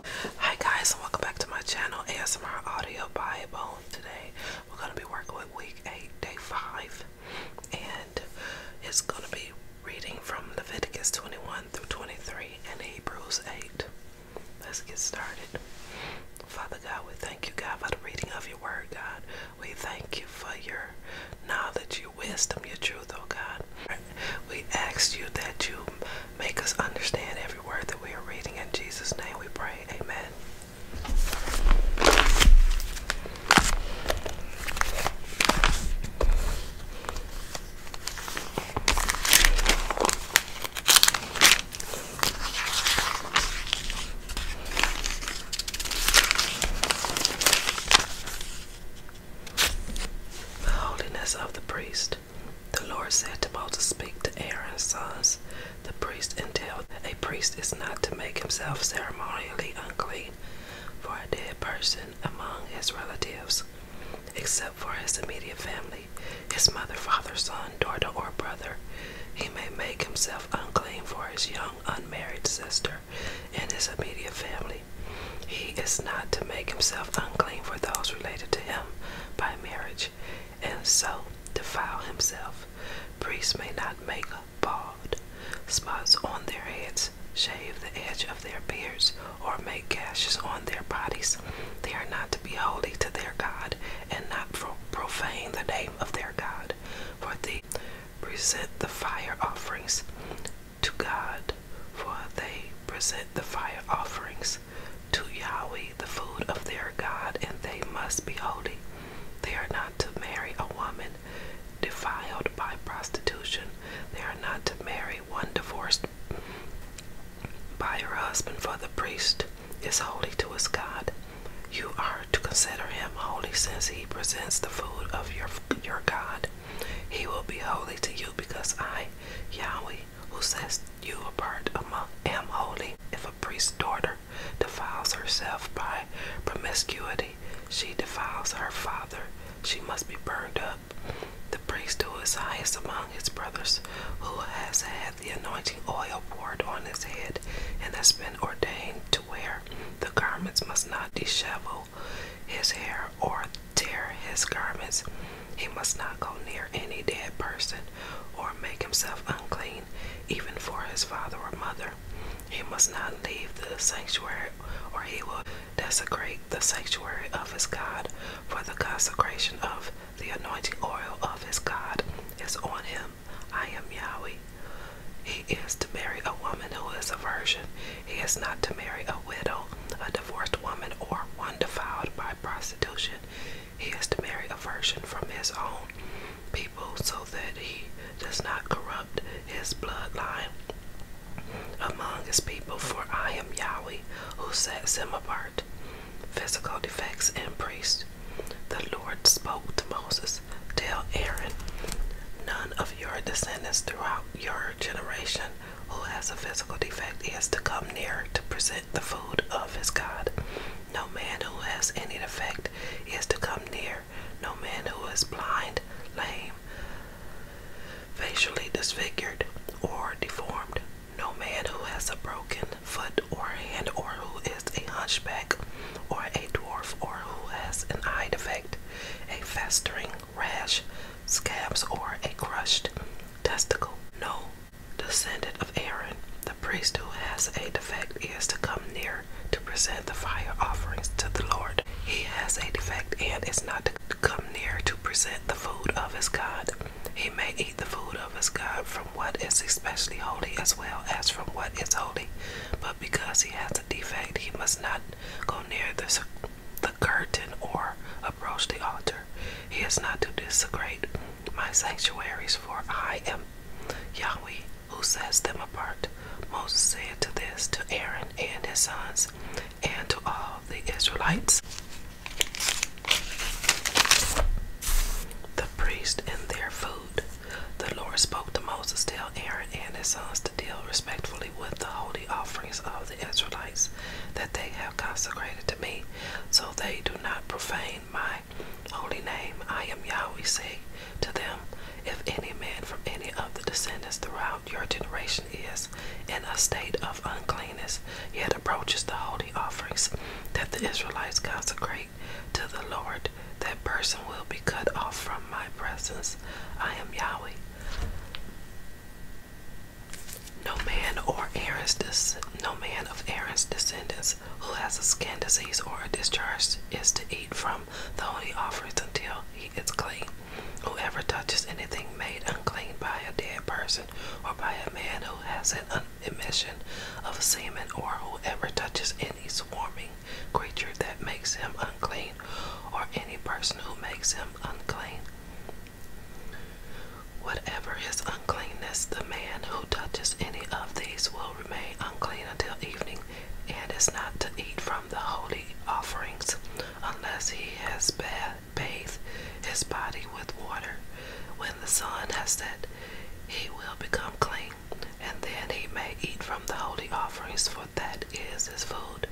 Hi guys and welcome back to my channel ASMR Audio by Bone. Today we're gonna be working with week eight, day five, and it's gonna be reading from Leviticus 21 through 23 and Hebrews 8. Let's get started. Father God, we thank you, God, for the reading of your word, God. We thank you for your knowledge, your wisdom, your truth, oh God. We ask you that you make us understand every word that we are reading. In Jesus' name we pray. Amen. The holiness of the priest. The Lord said to Moses, Speak to Aaron's sons, the priest, and tell a priest is not to make himself ceremonially unclean for a dead person among his relatives, except for his immediate family, his mother, father, son, daughter, or brother. He may make himself unclean for his young unmarried sister and his immediate family. He is not to make himself unclean for those related to him by marriage, and so defile himself. Priests may not make bald spots on their heads, shave the edge of their beards, or make gashes on their bodies. They are not to be holy to their God, and not profane the name of their God for they present the fire offerings to God, for they present the fire offerings to Yahweh, the food of their God, and they must be holy. They are not to marry a woman defiled by prostitution. They are not to marry one divorced by her husband, for the priest is holy to his God. You are to consider him holy since he presents the food of your, your God. He will be holy to you because I, Yahweh, who sets you apart among am holy. If a priest's daughter defiles herself by promiscuity, she defiles her father. She must be burned up. The priest who is highest among his brothers, who has had the anointing oil poured on his head and has been ordained to wear. The garments must not dishevel his hair or tear his garments. He must not go near any dead person or make himself unclean, even for his father or mother. He must not leave the sanctuary, or he will desecrate the sanctuary of his God, for the consecration of the anointing oil of his God is on him. I am Yahweh. He is to marry a woman who is a virgin. He is not to marry a widow, a divorced woman, or one defiled by prostitution. He is to marry a virgin from his own people so that he does not corrupt his bloodline among his people, for I am Yahweh who sets him apart. Physical defects and priests. The Lord spoke to Moses, Tell Aaron, none of your descendants throughout your generation who has a physical defect is to come near to present the food of his God. No man who has any defect is to come near. No man who is blind, lame, facially disfigured, or deformed. No man who has a broken foot or hand or who is a hunchback or a dwarf or who has an eye defect, a festering rash, scabs or a crushed testicle. No descendant of Aaron, the priest who has a defect is to come near to present the fire offerings to the Lord. He has a defect and is not to come near to present the food of his God. He may eat the food of his God from from what is especially holy as well as from what is holy. But because he has a defect, he must not go near the, curtain or approach the altar. He is not to desecrate my sanctuaries, for I am Yahweh who sets them apart. Moses said to this to Aaron and his sons and to all the Israelites. The priest and their food. The Lord spoke to Moses, tell Aaron and his sons to deal respectfully with the holy offerings of the Israelites that they have consecrated to me, so they do not profane my holy name. I am Yahweh, say to them, if any man from any of the descendants throughout your generation is in a state of uncleanness, yet approaches the holy offerings that the Israelites consecrate to the Lord, that person will be cut off from my presence. I am Yahweh. No man or Aaron's no man of Aaron's descendants who has a skin disease or a discharge is to eat from the holy offerings until he is clean. Whoever touches anything made unclean by a dead person or by a man who has an upon emission of semen or whoever touches any swarming creature that makes him unclean or any person who makes him unclean. Whatever his uncleanness, the man who touches any of these will remain unclean until evening and is not to eat from the holy offerings unless he has bathed his body with water. When the sun has set, he will become clean, and then he may eat from the holy offerings, for that is his food.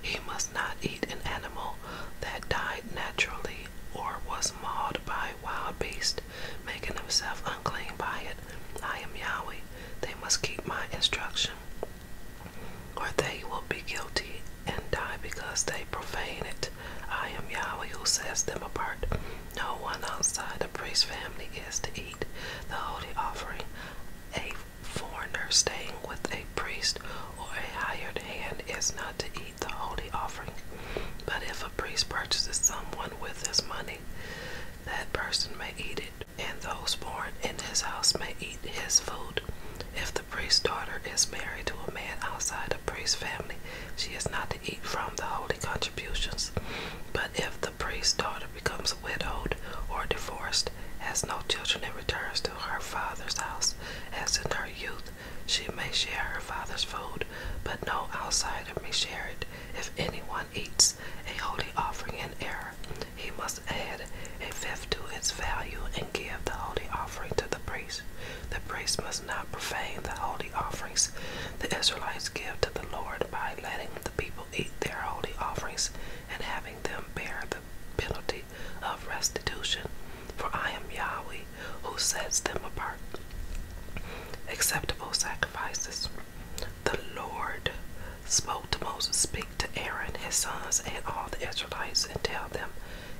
He must not eat an animal that died naturally or was mauled by a wild beast, making himself unclean by it. I am Yahweh. They must keep my instruction, or they will be guilty and die because they profane it. I am Yahweh who sets them apart. No one outside the priest family is to eat the holy offering. A foreigner staying with a priest or a hired hand is not to eat the holy offering. But if a priest purchases someone with his money, that person may eat it, and those born in his house may eat his food. If the priest's daughter is married to a man outside the priest's family, she is not to eat from the holy contributions. But if the priest's daughter becomes widowed or divorced, has no children, and returns to her father's house as in her youth, she may share her father's food, but no outsider may share it. If anyone eats a holy offering in error, he must add a fifth to its value and give the holy offering to the priest. The priest must not profane the holy offerings the Israelites give to the Lord by letting the people eat their holy offerings and having them bear the penalty of restitution. For I am Yahweh who sets them apart. Acceptable sacrifices. The Lord spoke to Moses, Speak to Aaron, his sons, and all the Israelites, and tell them,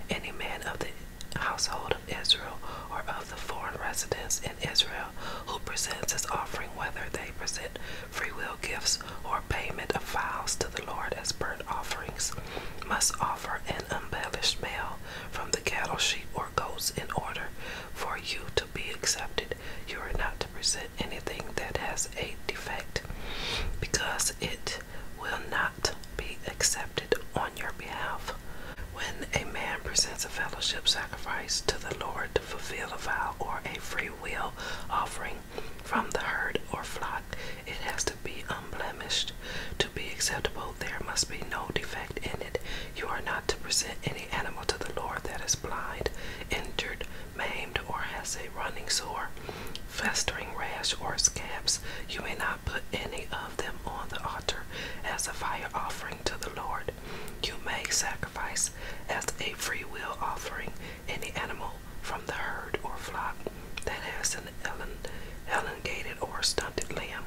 Any man of the household of Israel or of the foreign residents in Israel who presents his offering, whether they present freewill gifts or payment of vows to the Lord as burnt offerings, must offer an unblemished male from the cattle, sheep, or goats in order for you to be accepted. You are not to present anything that has a defect, because it will not be accepted on your behalf. When a man presents a fellowship sacrifice to the Lord to fulfill a vow or a free will offering from the herd or flock, it has to be unblemished. To be acceptable, there must be no defect in it. You are not to present any animal to the Lord that is blind, injured, maimed, or has a running sore festering rash or scabs. You may not put any of them on the altar as a fire offering to the Lord. You may sacrifice as a freewill offering any animal from the herd or flock that has an elongated or stunted limb,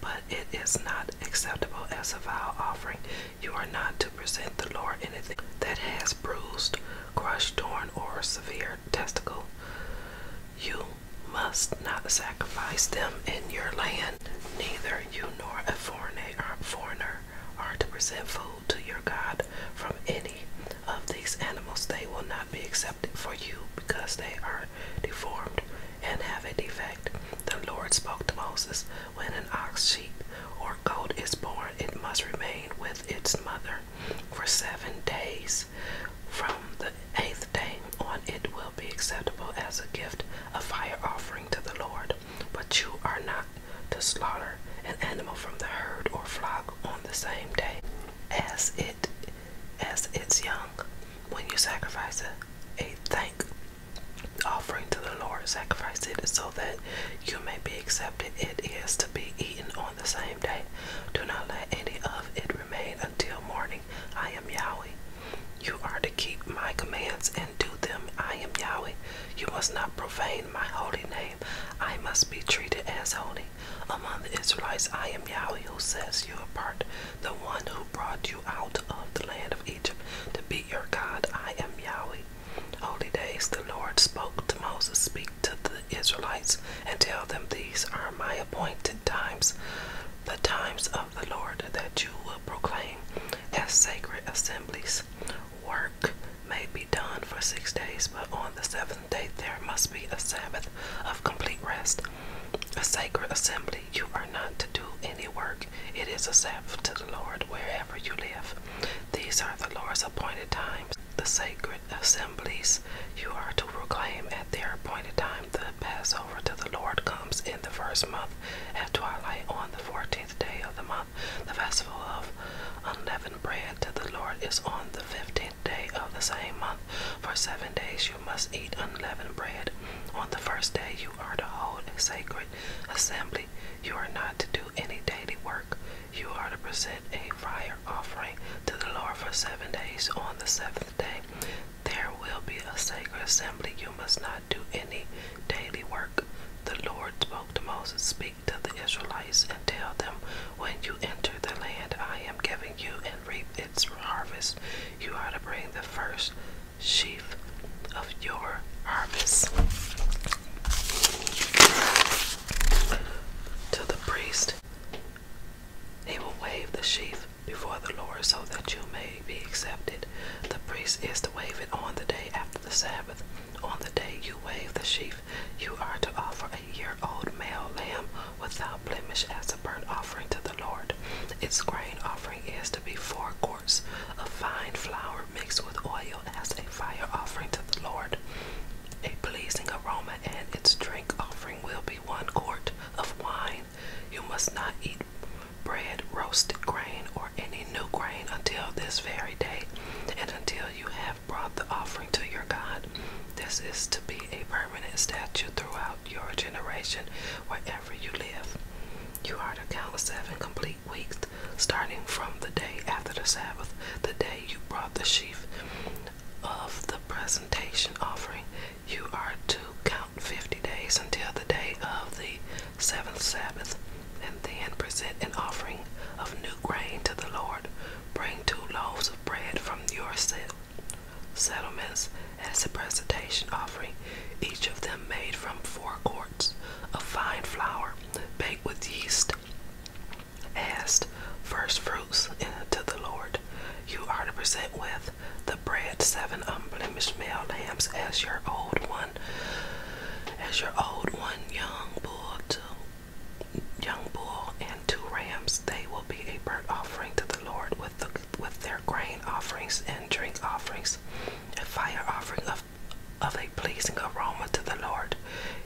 but it is not acceptable as a vow offering. You are not to present the Lord anything that has bruised crushed, torn, or severe testicle. You must not sacrifice them in your land. Neither you nor a foreigner are to present food to your God from any of these animals. They will not be accepted for you because they are deformed and have a defect. The Lord spoke to Moses when an ox, sheep, or goat is born, it must remain with its mother for seven days. From the eighth day on, it will be acceptable as a gift, a fire offering to the Lord. But you are not to slaughter an animal from the herd or flock on the same day as it as its young. When you sacrifice a, a thank offering to the Lord, sacrifice it so that you may be accepted. It is to be eaten on on the same day. Do not let any of it remain until morning. I am Yahweh. You are to keep my commands and do them. I am Yahweh. You must not profane my holy name. I must be treated as holy. Among the Israelites, I am Yahweh who sets you apart, the one who brought you out of the land of Egypt to be your God. I am Yahweh. Holy days, the Lord spoke to Moses, Speak to the Israelites and tell them, These are my appointed times, the times of the Lord that you will proclaim as sacred assemblies. Work may be done for six days, but on the seventh day there must be a Sabbath of complete rest. A sacred assembly, you are not to do any work. It is a Sabbath to the Lord wherever you live. These are the Lord's appointed times, the sacred assemblies you are to proclaim at their appointed time the Passover to the Lord comes in the first month at twilight on the fourteenth day of the month. The festival of unleavened bread to the Lord is on the fifteenth day of the same month. For seven days you must eat unleavened bread. On the first day you are to hold a sacred assembly. You are not to do any daily work. You are to present a fire offering to the Lord for seven days. On the seventh day, there will be a sacred assembly. You must not do any daily work. The Lord spoke to Moses, Speak to the Israelites and tell them, When you enter the land I am giving you and reap its harvest, you are to bring the first sheaf of your harvest. To the priest, he will wave the sheaf before the Lord so that you may be accepted. The priest is to wave it on the day after the Sabbath. On the day you wave the sheaf, you are to offer a year old male lamb without blemish as a burnt offering to the Lord. Its grain offering is to be four quarts of fine flour mixed with oil as a fire offering to the Lord, a pleasing aroma, and its drink offering will be one quart of wine. You must not eat bread, roasted grain, or any new grain until this very day, and until you have brought the offering to your God. This is to be a permanent statute throughout your generation, wherever you live. You are to count seven complete weeks, starting from the day after the Sabbath, the day you brought the sheaf of the presentation offering. You are to count fifty days until the day of the seventh Sabbath, and then present an offering of new grain to the Lord. Bring two loaves of bread from your set settlements as a presentation offering, each of them made from four quarts of fine flour, baked with yeast asked first fruits to the Lord. You are to present with the bread seven unblemished male lambs as your old one, as your old one, young bull, two, young bull, and two rams. They will be a burnt offering to the Lord with with their grain offerings and drink offerings, a fire offering of of a pleasing aroma to the Lord.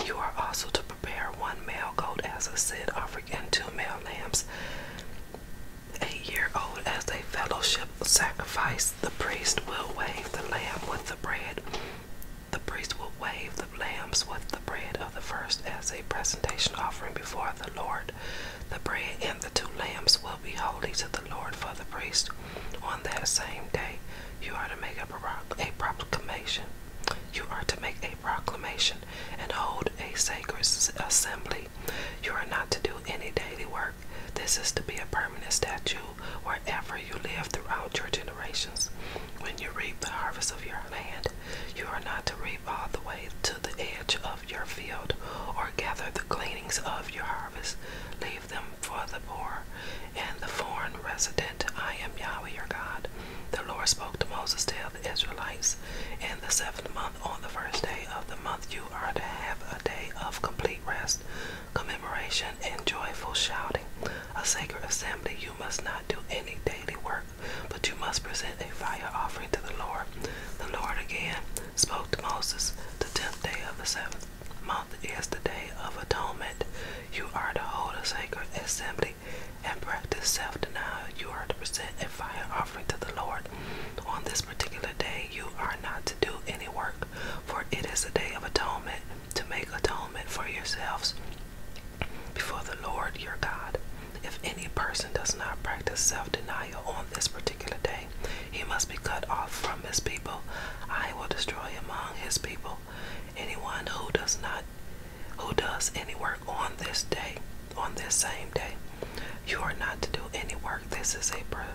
You are also to prepare one male goat as a sin offering and two male lambs, a year old, as a fellowship sacrifice. The priest will wave the lamb with the bread. The priest will wave the lambs with the bread of the first as a presentation offering before the Lord. The bread and the two lambs will be holy to the Lord for the priest on that same day. You are to make up a, a proclamation. You are to make a proclamation and hold a sacred assembly. You are not to do any daily work. This is to be a permanent statue wherever you live throughout your generations. When you reap the harvest of your land, you are not to reap all the way to the edge of your field or gather the gleanings of your harvest them for the poor and the foreign resident. I am Yahweh your God. The Lord spoke to Moses to the Israelites in the seventh month, on the first day of the month, you are to have a day of complete rest, commemoration, and joyful shouting. A sacred assembly, you must not do any daily work, but you must present a fire offering to the Lord. The Lord again spoke to Moses the tenth day of the seventh month is the Day of Atonement. You are to hold a sacred assembly and practice self denial. You are to present a fire offering to the Lord. On this particular day, you are not to do any work, for it is a day of atonement to make atonement for yourselves before the Lord your God. If any person does not practice self denial on this particular day, he must be cut off from his people. I will destroy among his people anyone who does not who does any work on this day, on this same day. You are not to do any work. This is a per,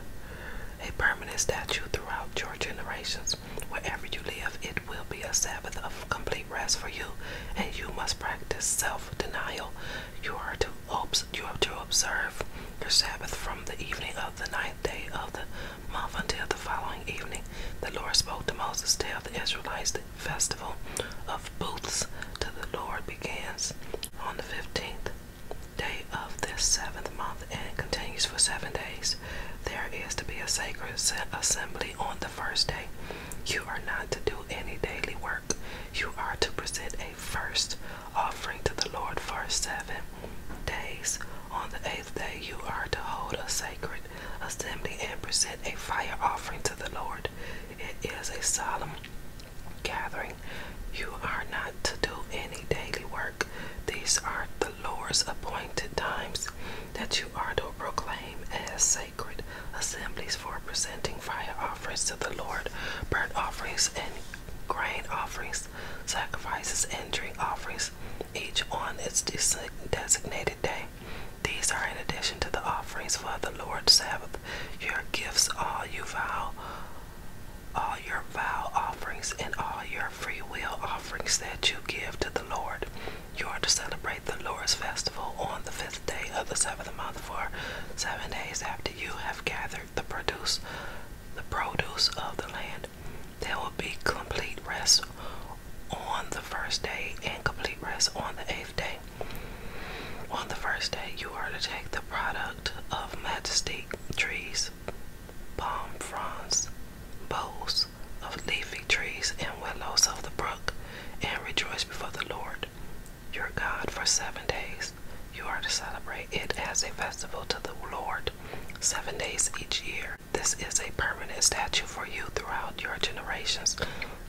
a permanent statute throughout your generations. Wherever you live, it will be a Sabbath of complete rest for you, and you must practice self-denial. You are to obs you are to observe your Sabbath from the evening of the ninth day of the month until the following evening. The Lord spoke to Moses, Tell the Israelites the festival of booths to the Lord begins on the fifteenth day of this seventh month and continues for seven days. There is to be a sacred assembly on the first day. You are not to do any daily work. You are to present a first offering to the Lord for seven days. On the eighth day, you are to hold a sacred assembly and present a fire offering to the Lord. It is a solemn gathering. You are not to do any daily work. These are the Lord's appointed times that you are to proclaim as sacred assemblies for presenting fire offerings to the Lord, burnt offerings, and grain offerings sacrifices, and drink offerings, each on its designated day. These are in addition to the offerings for the Lord's Sabbath, your gifts, all you vow, all your vow offerings, and all your free will offerings that you give to the Lord. You are to celebrate the Lord's festival on the fifth day of the seventh month for seven days after you have gathered gathered the produce the produce of the land. There will be complete rest on the first day and complete rest on the eighth day. On the first day, you are to take the product of majestic trees, palm fronds, boughs of leafy trees, and willows of the brook, and rejoice before the Lord your God for seven days. You are to celebrate it as a festival to the Lord, seven days each year. This is a permanent statute for you throughout your generations.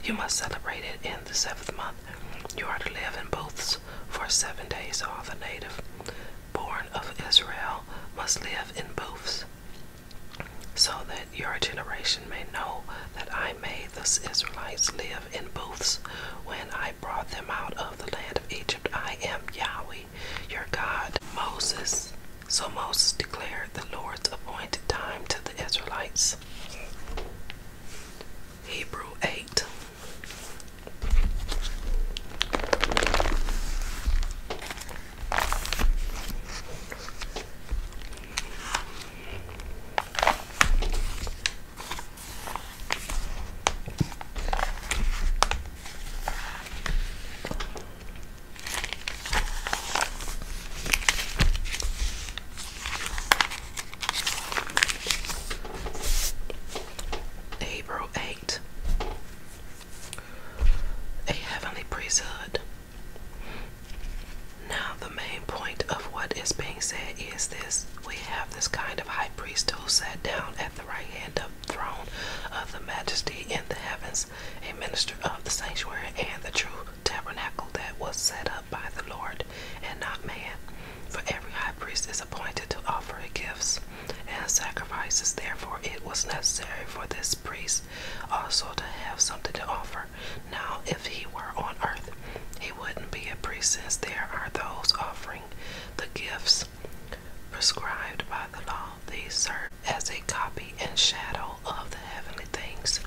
You must celebrate it in the seventh month. You are to live in booths for seven days. All the native born of Israel must live in booths, so that your generation may know that I made the Israelites live in booths when I brought them out of the land of Egypt. I am Yahweh, your God. Moses. So Moses declared the Lord's appointed time to the Israelites. Hebrew 8. April 8. A heavenly priesthood. Now, the main point of what is being said is this we have this kind of high priest who sat down at the right hand of the throne of the majesty in the heavens, a minister of the sanctuary and the true tabernacle that was set up by the Lord and not man. For every high priest is appointed to offer gifts and sacrifices. Therefore, it was necessary for this priest also to have something to offer now if he were on earth. He wouldn't be a priest since there are those offering the gifts prescribed by the law. These serve as a copy and shadow of the heavenly things.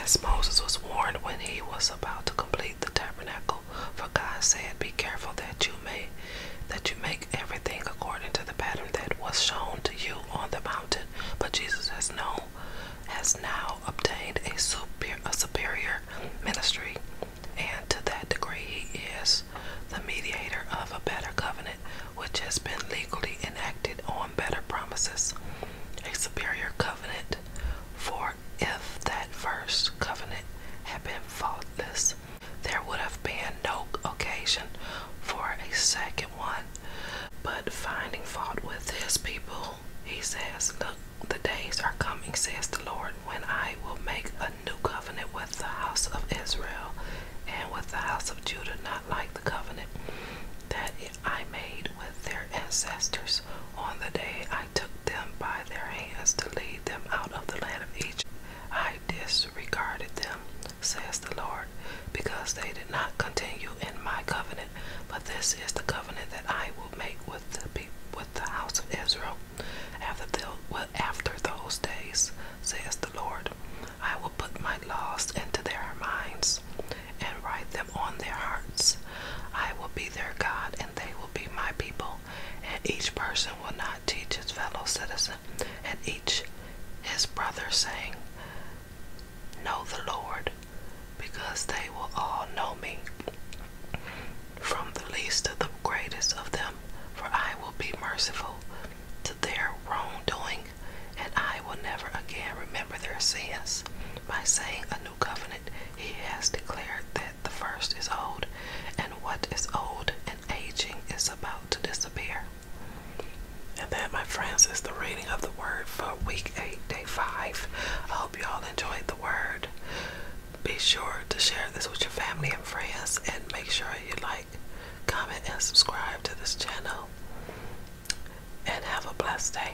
As Moses was warned when he was about to complete the tabernacle, for God said, Be careful that you may that you may everything according to the pattern that was shown to you on the mountain. But Jesus has known, has now obtained a superior, a superior ministry, and to that degree he is the mediator of a better covenant, which has been legally enacted on better promises. A superior covenant, for if that first covenant had been faultless, there would have been no occasion for a second one, but finding fault with his people, he says, Look, the days are coming, says the Lord, when I will make a new covenant with the house of Israel and with the house of Judah, not like the covenant that I made with their ancestors on the day I took them by their hands to lead them out of the land of Egypt. I disregarded them says the Lord, because they did not continue in my covenant. But this is the covenant that I will make with the house of Israel, after those days, says the Lord. I will put my laws into their minds, and write them on their hearts. I will be their God, and they will be my people. And each person will not not fellow citizen and each his brother, saying, Know the Lord, because they will all know me, from the least to the greatest of them, for I will be merciful to their wrongdoing, and I will never again remember their sins. By saying a new covenant, he has declared that the first is old, and what is old and aging is about to disappear. And that, my friends, is the reading of the word for week 8, day 5. I hope you all enjoyed the word. Be sure to share this with your family and friends, and make sure you like, comment, and subscribe to this channel. And have a blessed day.